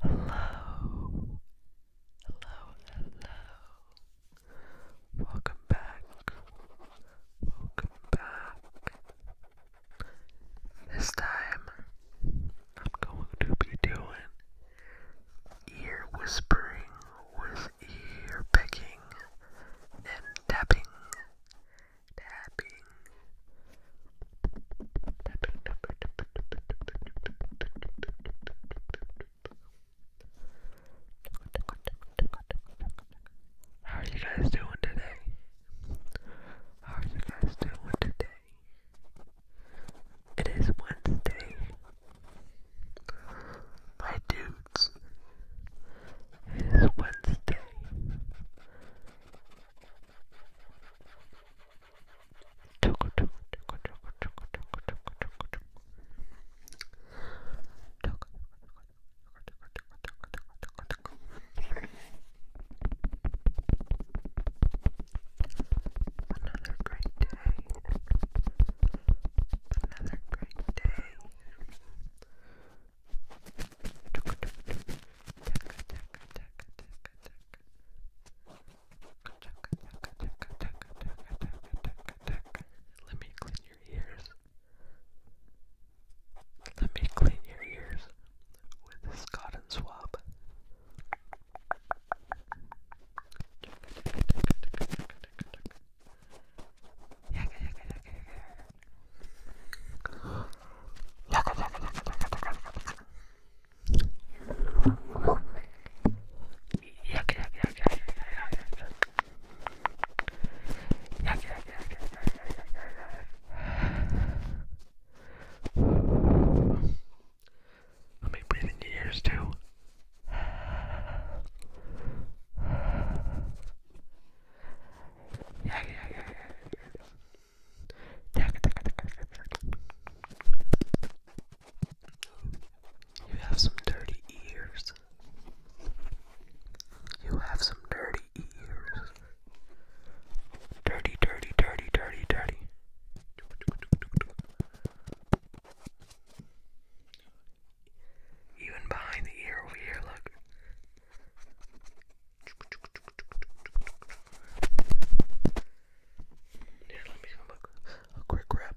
Hello, hello, hello. Welcome back. Welcome back. This time, I'm going to be doing ear whispering with ear picking and tapping how are you guys doing today? How are you guys doing today? It is Wednesday. My dudes, it is Wednesday. Another great day. Another great day. Let me clean your ears. Let me clean your ears with this cotton swab. Let me breathe in your ears too. You have some dirty ears. You have some dirty ears. Dirty, dirty, dirty, dirty, dirty. Even behind the ear over here, look. Here, let me give him a, a quick grab.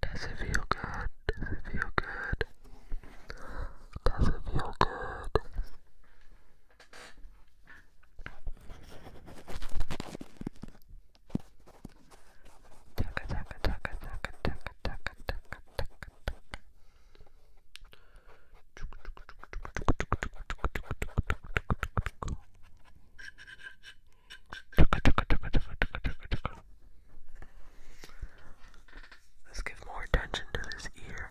Does it feel good? Does it feel good? Does it feel good? Taka taka taka taka taka taka taka taka taka. Chuk chuk chuk chuk chuk chuk chuk chuk chuk chuk chuk chuk chuk. Let's give more attention to this ear.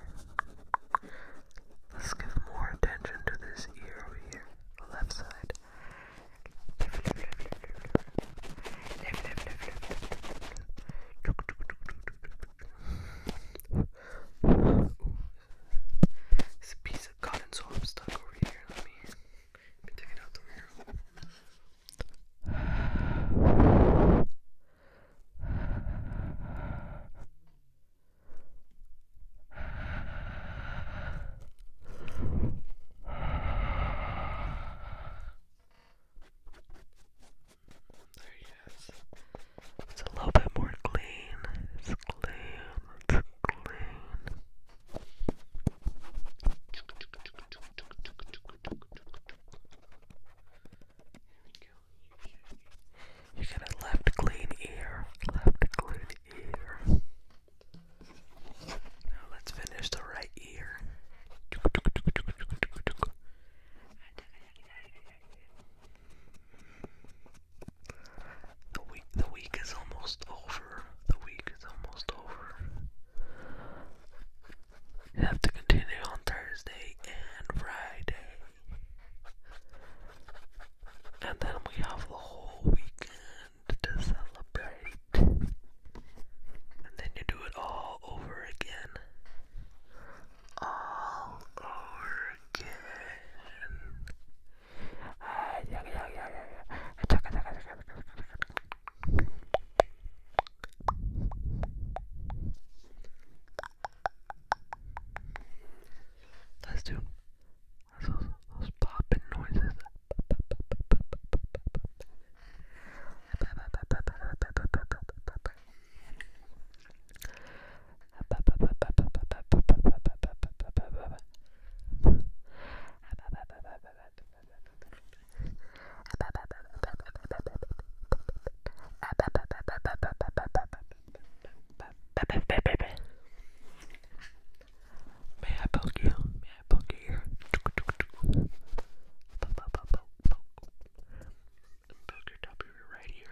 Let's give more attention to this ear over here, the left side. Ooh, it's a piece of cotton, so I'm stuck over here. Let me, take it out the mirror. There he is. It's a little bit more clean. It's clean. You get a left clean ear, left clean ear. Now let's finish the right ear. The week the week is almost over. The week is almost over. have to continue on Thursday and Friday. And then we have the whole weekend to celebrate. And then you do it all over again. All over again. Let's do those, those popping noises. May I poke you? May I poke your ear? Poke your top of your right ear.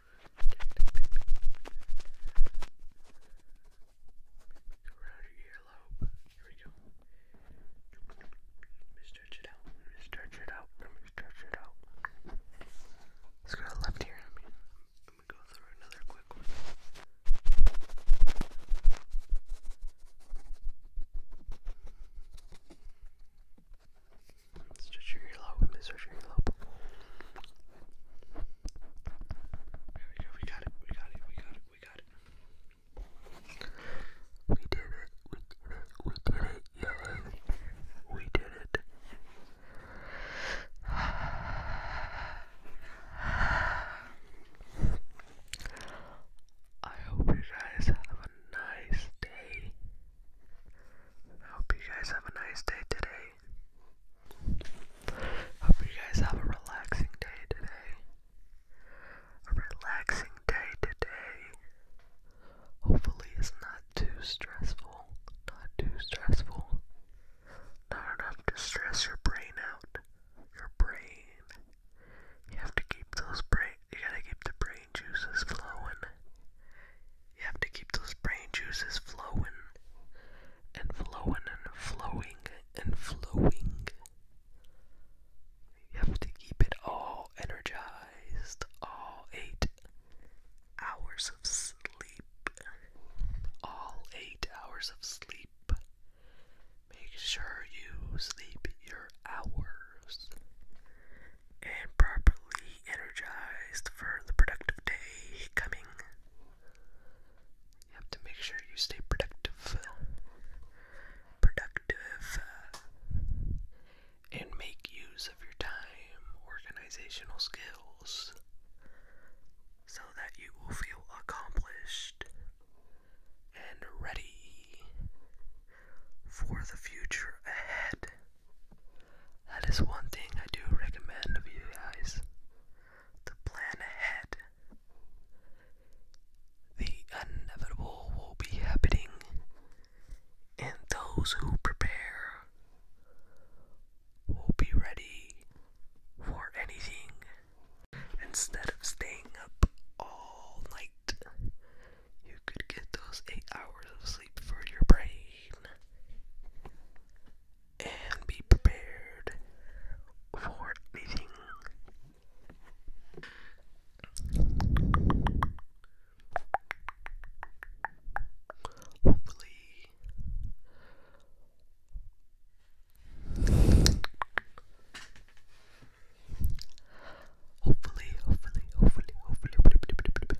around your earlobe. Here we go. Let me stretch it out. Let me stretch it out. Let me stretch it out. Let's go to the left here. Let me, let me go through another quick one. Good. 진짜 주의를 하고 있면서 주의를 하고 There we go, we got it, we got it, we got it, we got it We did it, we did it, we did it, yeah, we did it I hope you guys have a nice day. I Hope you guys have a nice day today. Hope you guys have a relaxing day today. A relaxing day today. Hopefully, it's not too stressful. Not too stressful. Not enough to stress your brain out. Your brain. You have to keep those brain. You gotta keep the brain juices flowing. You have to keep those brain juices flowing and flowing and flowing and flowing. You have to keep it all energized, all eight hours of sleep. All eight hours of sleep. Make sure you sleep your hours and properly energized for the productive day coming. You have to make sure you stay productive. Productive. Uh, and make use of your time, organizational skills, so that you will feel accomplished and ready for the future ahead. That is one thing I do recommend of you guys to plan ahead. The inevitable will be happening, and those who prepare will be ready for anything instead of staying up all night you could get those eight hours of sleep for your brain and be prepared for anything. Hopefully, hopefully, hopefully, hopefully,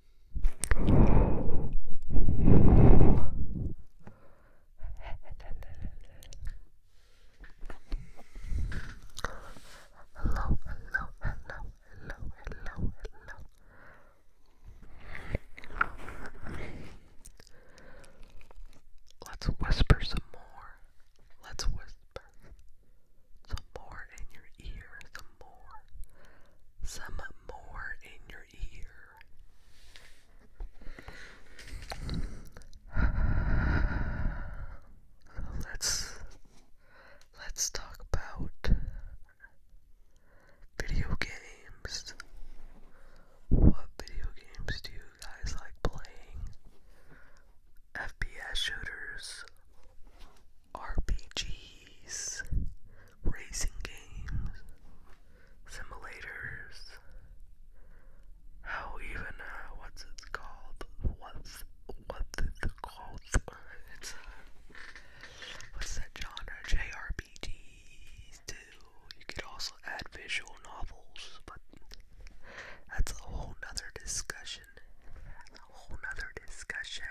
hello, hello, hello, hello, hello. Let's whisper some more. Let's whisper some more in your ear, some more, some more in your ear. let's let's talk about video games. What video games do you guys like playing? FPS shooters, RPGs, racing games, simulators. How even uh, what's it called? What's what's it called? It's uh, what's that genre? JRPGs too. You could also add visual novels, but that's a whole other discussion. A whole nother discussion.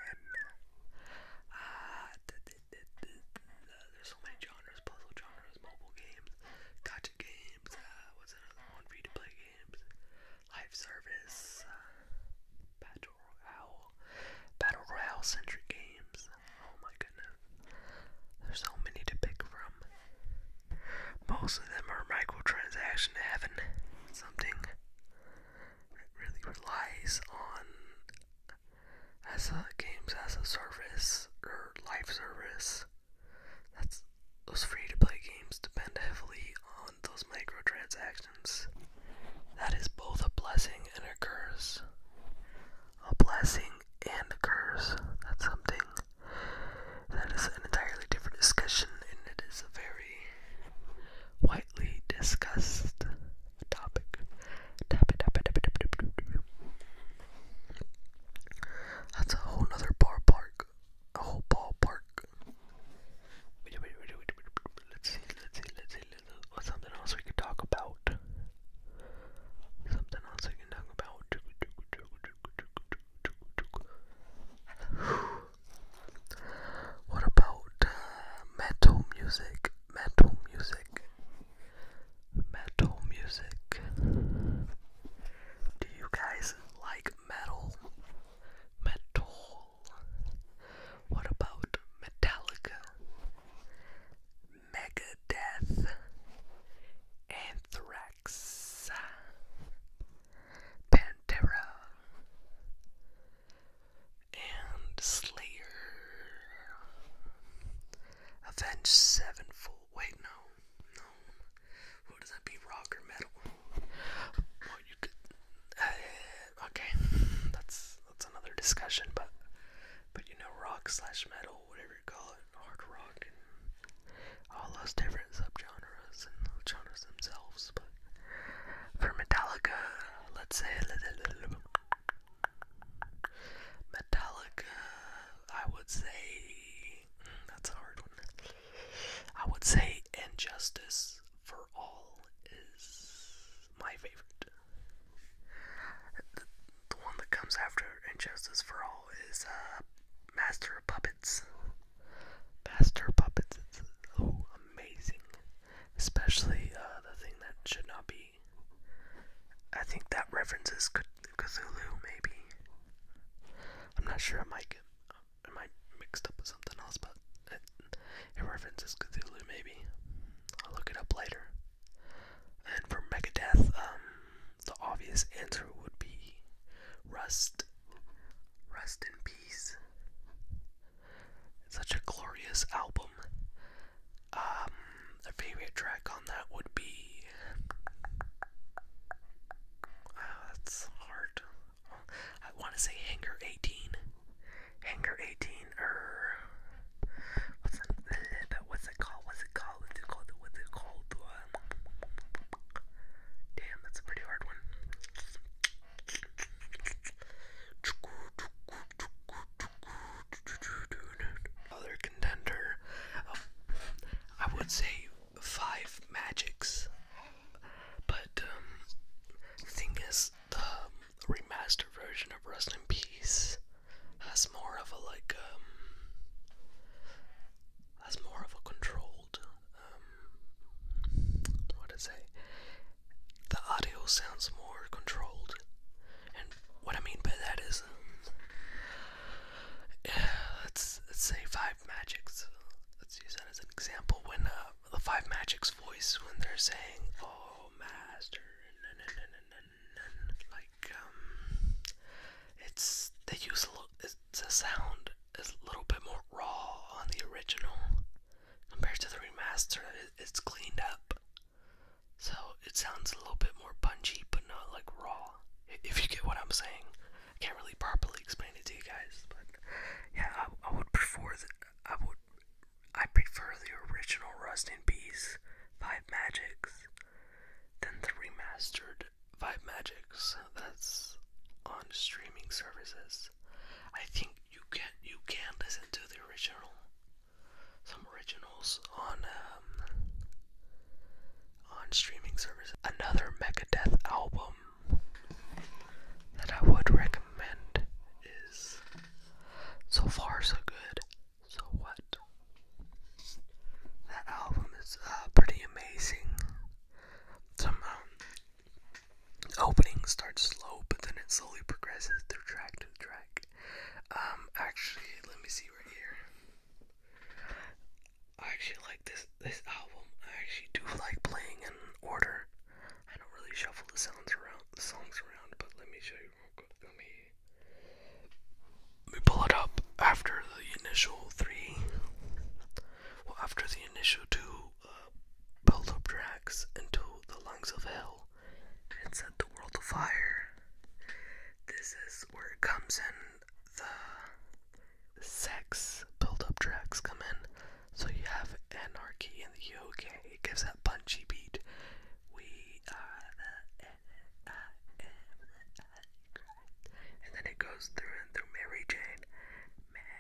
Uh, there's so many genres, puzzle genres, mobile games, gotcha games, uh, what's another one, free-to-play games, live service, uh, battle royale, battle royale centric games, oh my goodness, there's so many to pick from. Most of them are microtransaction heaven, something it really relies on as a games as a service or live service. That's those free to play games depend heavily on those microtransactions. That is both a blessing and a curse. A blessing and a curse. That's something that is an entirely different discussion and it is a very widely discussed topic. That's a whole nother ballpark. A whole ballpark. Let's see, let's see, let's see. Let's, what's something else we could talk about? Something else we can talk about. What about uh, metal music? Metal music. Metal music. Do you guys like metal? Metal. What about Metallica? Megadeth. Anthrax. Pantera and Slayer, Avenged Sevenfold. Wait, no, no. What does that be? Rock or metal? Well, you could. Uh, okay, that's that's another discussion. But but you know, rock slash metal, whatever you call it, hard rock, and all those different subgenres and genres themselves. But for Metallica let's say Metallica, I would say mm, that's a hard one. I would say Injustice for All is my favorite. The, one that comes after Injustice for All is uh, Master of Puppets. Master of Puppets, it's oh amazing especially uh, the thing that should not be. I think that references Cthulhu, maybe. I'm not sure. I might get, I might mixed up with something else, but it, references Cthulhu, maybe. I'll look it up later. And for Megadeth, um, the obvious answer would be Rust. Rust in peace. Such a glorious album. Um, a favorite track on that would be. Oh, that's hard. I want to say Hangar 18. Hangar 18, or. Er, what's it, What's it called? What's it called? What's it called? What's it called? Um, damn, that's a pretty hard one. Other contender, I would say five magics, but um, the thing is, the remastered version of Rest in Peace has more of a like um, has more of a controlled um, what to say, the audio sounds more controlled. And what I mean by that is, uh, let's, let's say Five Magics. Let's use that as an example. When uh, the Five Magics voice, when they're saying, "Oh, Master," like um, it's they use a little, it's a sound is a little bit more raw on the original compared to the remaster. It's cleaned up, so it sounds a little bit more punchy, but not like raw. If you get what I'm saying, I can't really properly explain it to you guys, but yeah, I, would prefer that. I would I prefer the original Rust in Peace Five Magics than the remastered Five Magics that's on streaming services. I think you can you can listen to the original, some originals on um, on streaming service. Another Megadeth album that I would recommend is So Far So Good. So What? That album is uh, pretty amazing. Some um, opening starts slow, but then it slowly progresses through track to track. Um, actually, let me see right here. I actually like this this album. I actually do like playing in order. I don't really shuffle the sounds around, the songs around, but let me show you real quick. Let me let me pull it up after the initial three. Well, after the initial two, pulled up drax into the lungs of hell and set the world afire. This is where it comes in the sex build up tracks come in. So you have anarchy in the UK. It gives that punchy beat. We are the And then it goes through and through Mary Jane.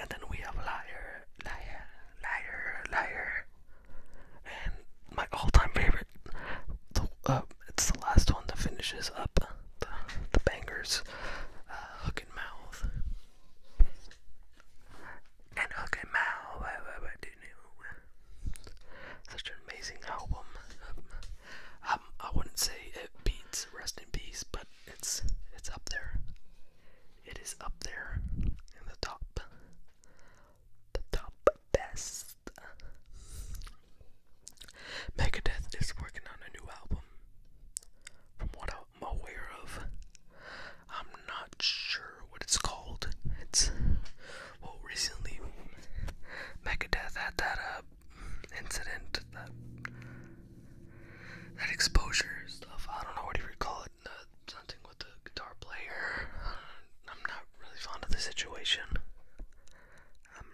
and then we have liar, liar, liar, liar, and my all-time favorite, uh, it's the last one that finishes up the, the bangers, uh, mouth, and hook mouth, such an amazing album. Um, I wouldn't say it beats Rest in Peace, but it's it's up there. It is up there in the top. The top best. Megadeth is working on a new album. From what I'm aware of, I'm not sure what it's called. It's well, recently Megadeth had that uh, incident, that that exposure stuff. I don't know what do you call it. Uh, with the guitar player. Uh, I'm not really fond of the situation. Um,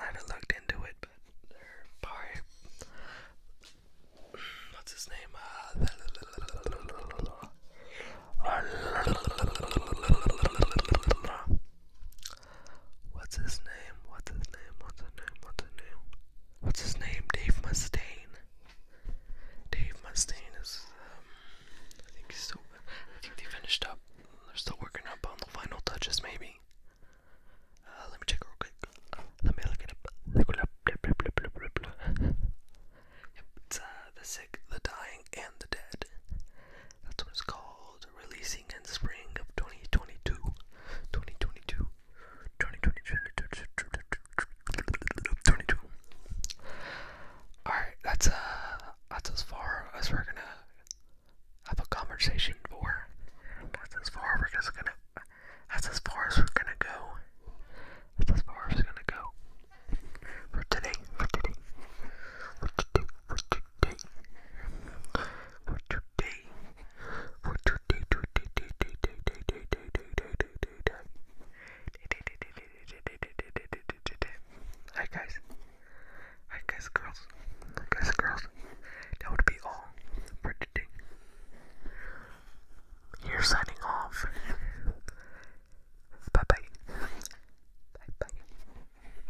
I haven't looked into it, but they're probably what's his name? Uh, What's his name? What's his name? What's his name? What's his name? What's his name? Dave Mustaine. Dave Mustaine is. Um, I think he's still. I think they finished up. They're still working up on the final touches, maybe. Uh, let me check real quick. Let me look it up. it's the sick, the dying, and the dead. That's what it's called. Releasing in Spring of 2022. Alright, that's, uh, that's as far as we're gonna have a conversation for. That's as far we're just gonna. That's as far as we're gonna go. That's as far we're gonna go. for today, for today, for today, for today, Hi guys. Hi guys girls. Guys girls. That would be all for today. You're signing off. Bye bye. Bye bye.